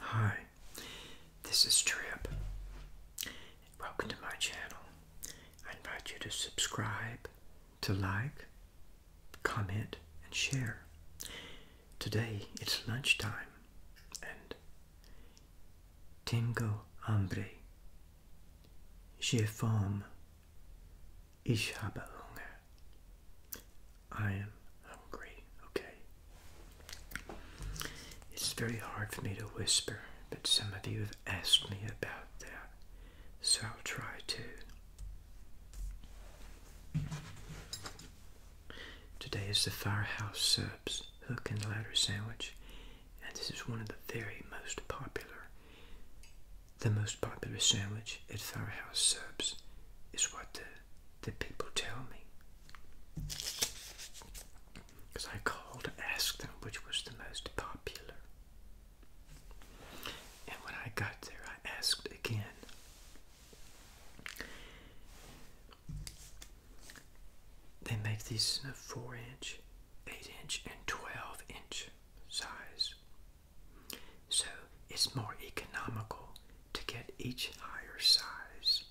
Hi, this is Trip. Welcome to my channel. I invite you to subscribe, to like, comment, and share. Today it's lunchtime and tengo hambre. J'ai fome. Ich habe Hunger. I am hungry, okay? It's very hard for me to whisper, but some of you have asked me about that, so I'll try to. Today is the Firehouse Subs Hook and Ladder Sandwich, and this is one of the very most popular. The most popular sandwich at Firehouse Subs is what the that people tell me. Because I called to ask them which was the most popular. And when I got there, I asked again. They make these in a 4 inch, 8 inch, and 12 inch size. So it's more economical to get each higher size.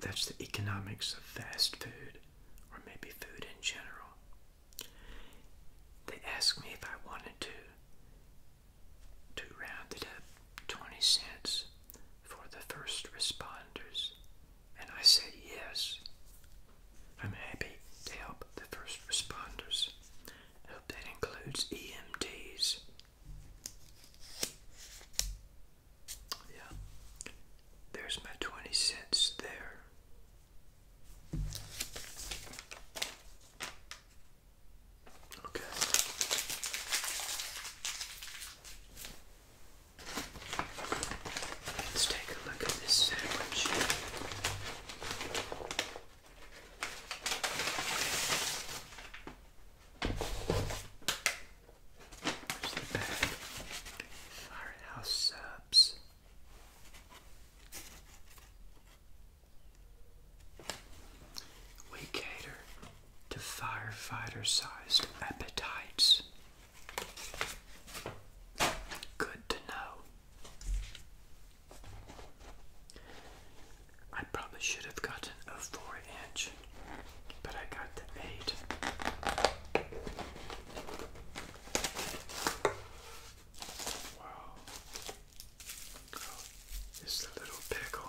That's the economics of fast food, or maybe food in general. They asked me if I wanted to to round it up 20 cents for the first responders, and I said yes. I'm happy to help the first responders. I hope that includes EMTs. Yeah. There's my 20 cents there. Okay. Let's take a look at this sandwich. There's the bag. Firehouse subs. We cater to firefighter sized appetites. Good to know. I probably should have gotten a four inch, but I got the eight. Wow. Oh, little pickle.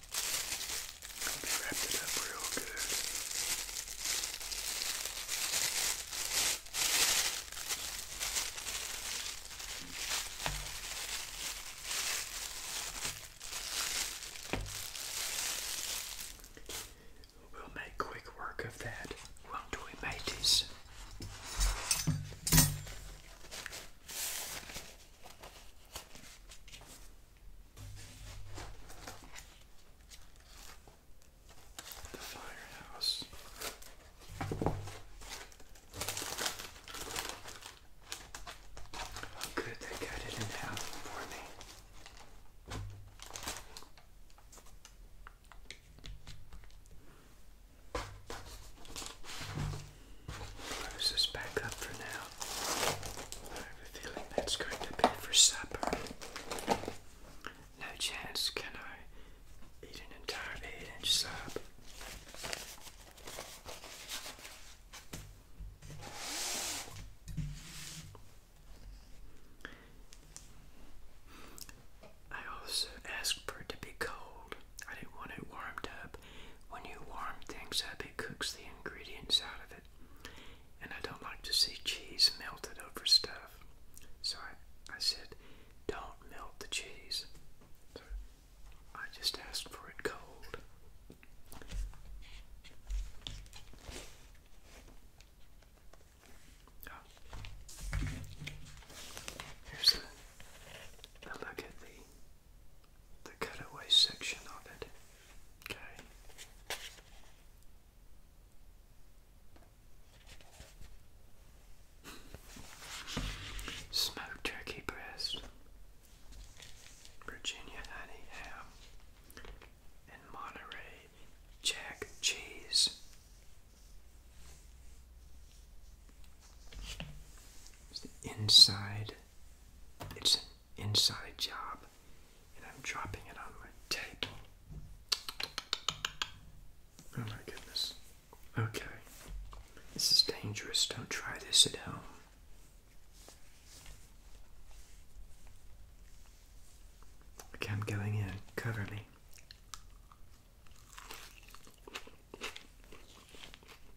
I'll be wrapped it up real good. We'll make quick work of that, won't we, mateys? The firehouse. Oh, good, they cut it in half for me. Close this back up for now. I have a feeling that's going to be for supper. No chance can I eat an entire eight inch sub. I also asked for it to be cold. I didn't want it warmed up. When you warm things up, it cooks the ingredients out of it and I don't like to see cheese melted over stuff. So I, I said, don't melt the cheese. So I just asked for it cold. Oh. look at the the cutaway section of it. Okay. Smoked turkey breast, Virginia honey ham, and Monterey Jack cheese. It's the inside. It's inside job, and I'm dropping it on my table. Oh my goodness. Okay. This is dangerous. Don't try this at home. Okay, I'm going in. Cover me.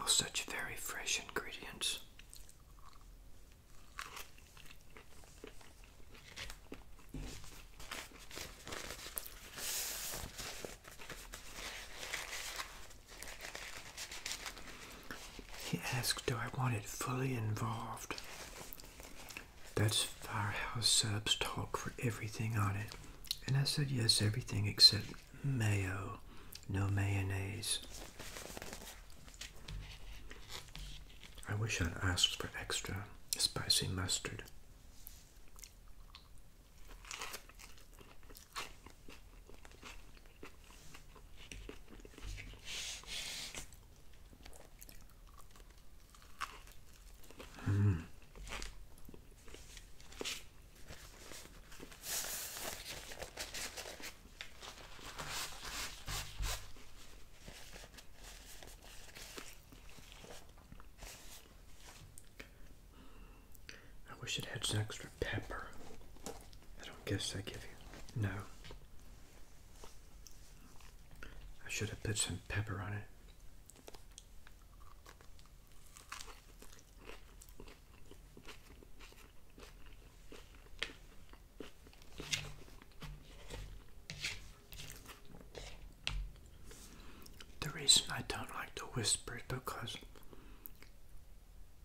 All such very fresh ingredients. He asked, Do I want it fully involved? That's Firehouse Sub's talk for everything on it. And I said, Yes, everything except mayo, no mayonnaise. I wish I'd asked for extra spicy mustard. Mm. I wish it had some extra pepper. I don't guess I give you. No. I should have put some pepper on it. The reason I don't like to whisper is because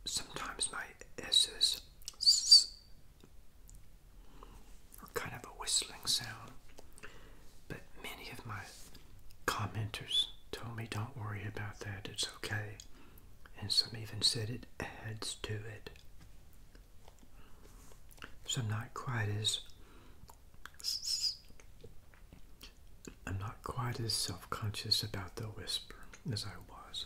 sometimes my S's are kind of a whistling sound. But many of my commenters told me, don't worry about that, it's okay. And some even said it adds to it. So I'm not quite as I'm not quite as self-conscious about the whisper as I was.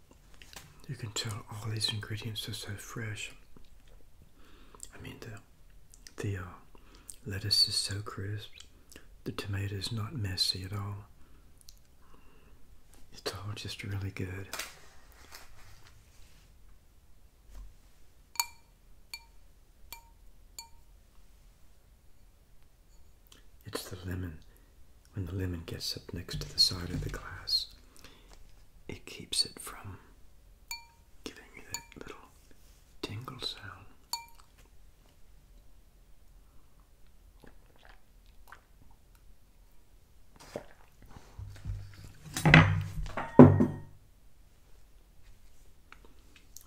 You can tell all these ingredients are so fresh. I mean, the, the uh, lettuce is so crisp. The tomato is not messy at all. It's all just really good. It's the lemon. When the lemon gets up next to the side of the glass, it keeps it from giving you that little tingle sound.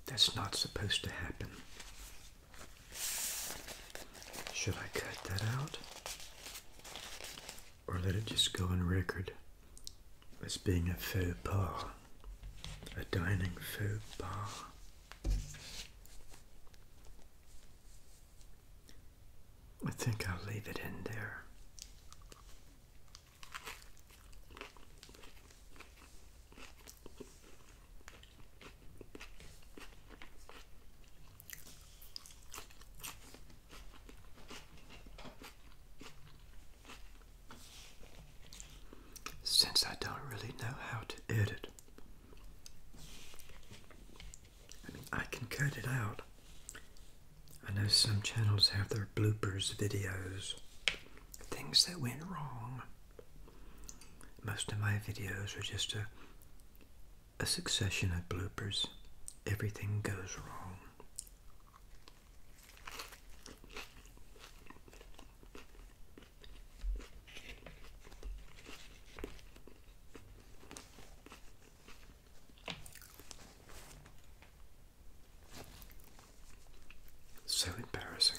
That's not supposed to happen. Should I cut that out or let it just go on record as being a faux pas, a dining faux pas? I think I'll leave it in there. Since I don't really know how to edit, I mean, I can cut it out. I know some channels have their bloopers videos, things that went wrong. Most of my videos are just a, succession of bloopers. Everything goes wrong. So embarrassing.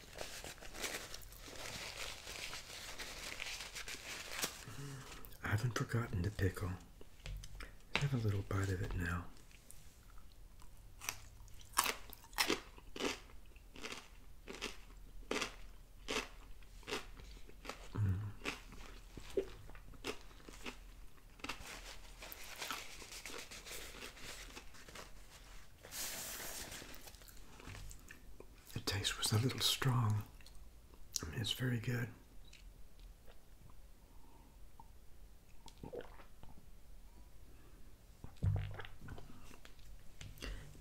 I haven't forgotten the pickle. Have a little bite of it now. Mm the taste was a little strong. it's very good.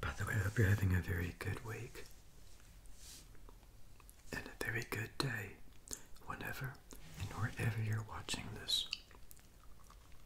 By the way, I hope you're having a very good week and a very good day whenever and wherever you're watching this.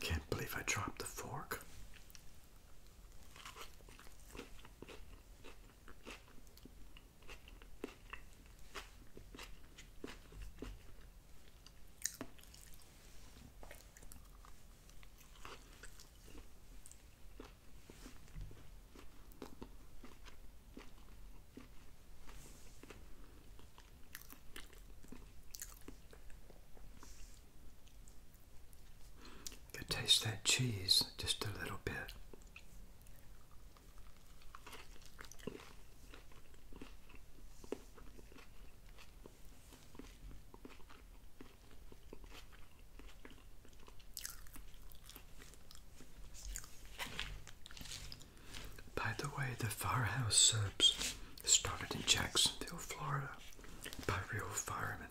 I can't believe I dropped the fork. You taste that cheese just a little bit. By the way, the firehouse subs started in Jacksonville, Florida, by real firemen.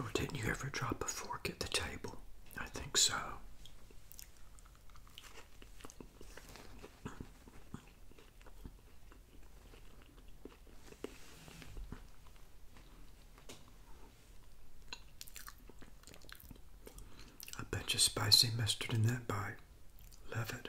Well, didn't you ever drop a fork at the table? I think so. A bunch of spicy mustard in that bite. Love it.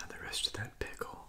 Now, the rest of that pickle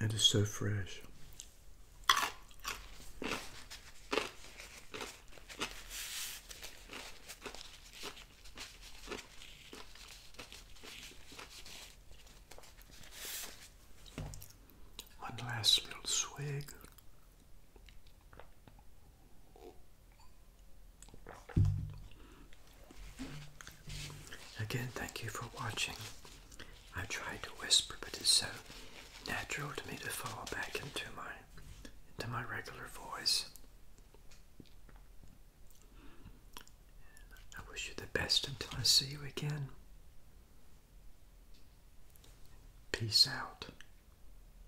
It is so fresh. One last little swig. Again, thank you for watching. I tried to whisper, but it's so natural to me to fall back into my into my regular voice. I wish you the best until I see you again. Peace out.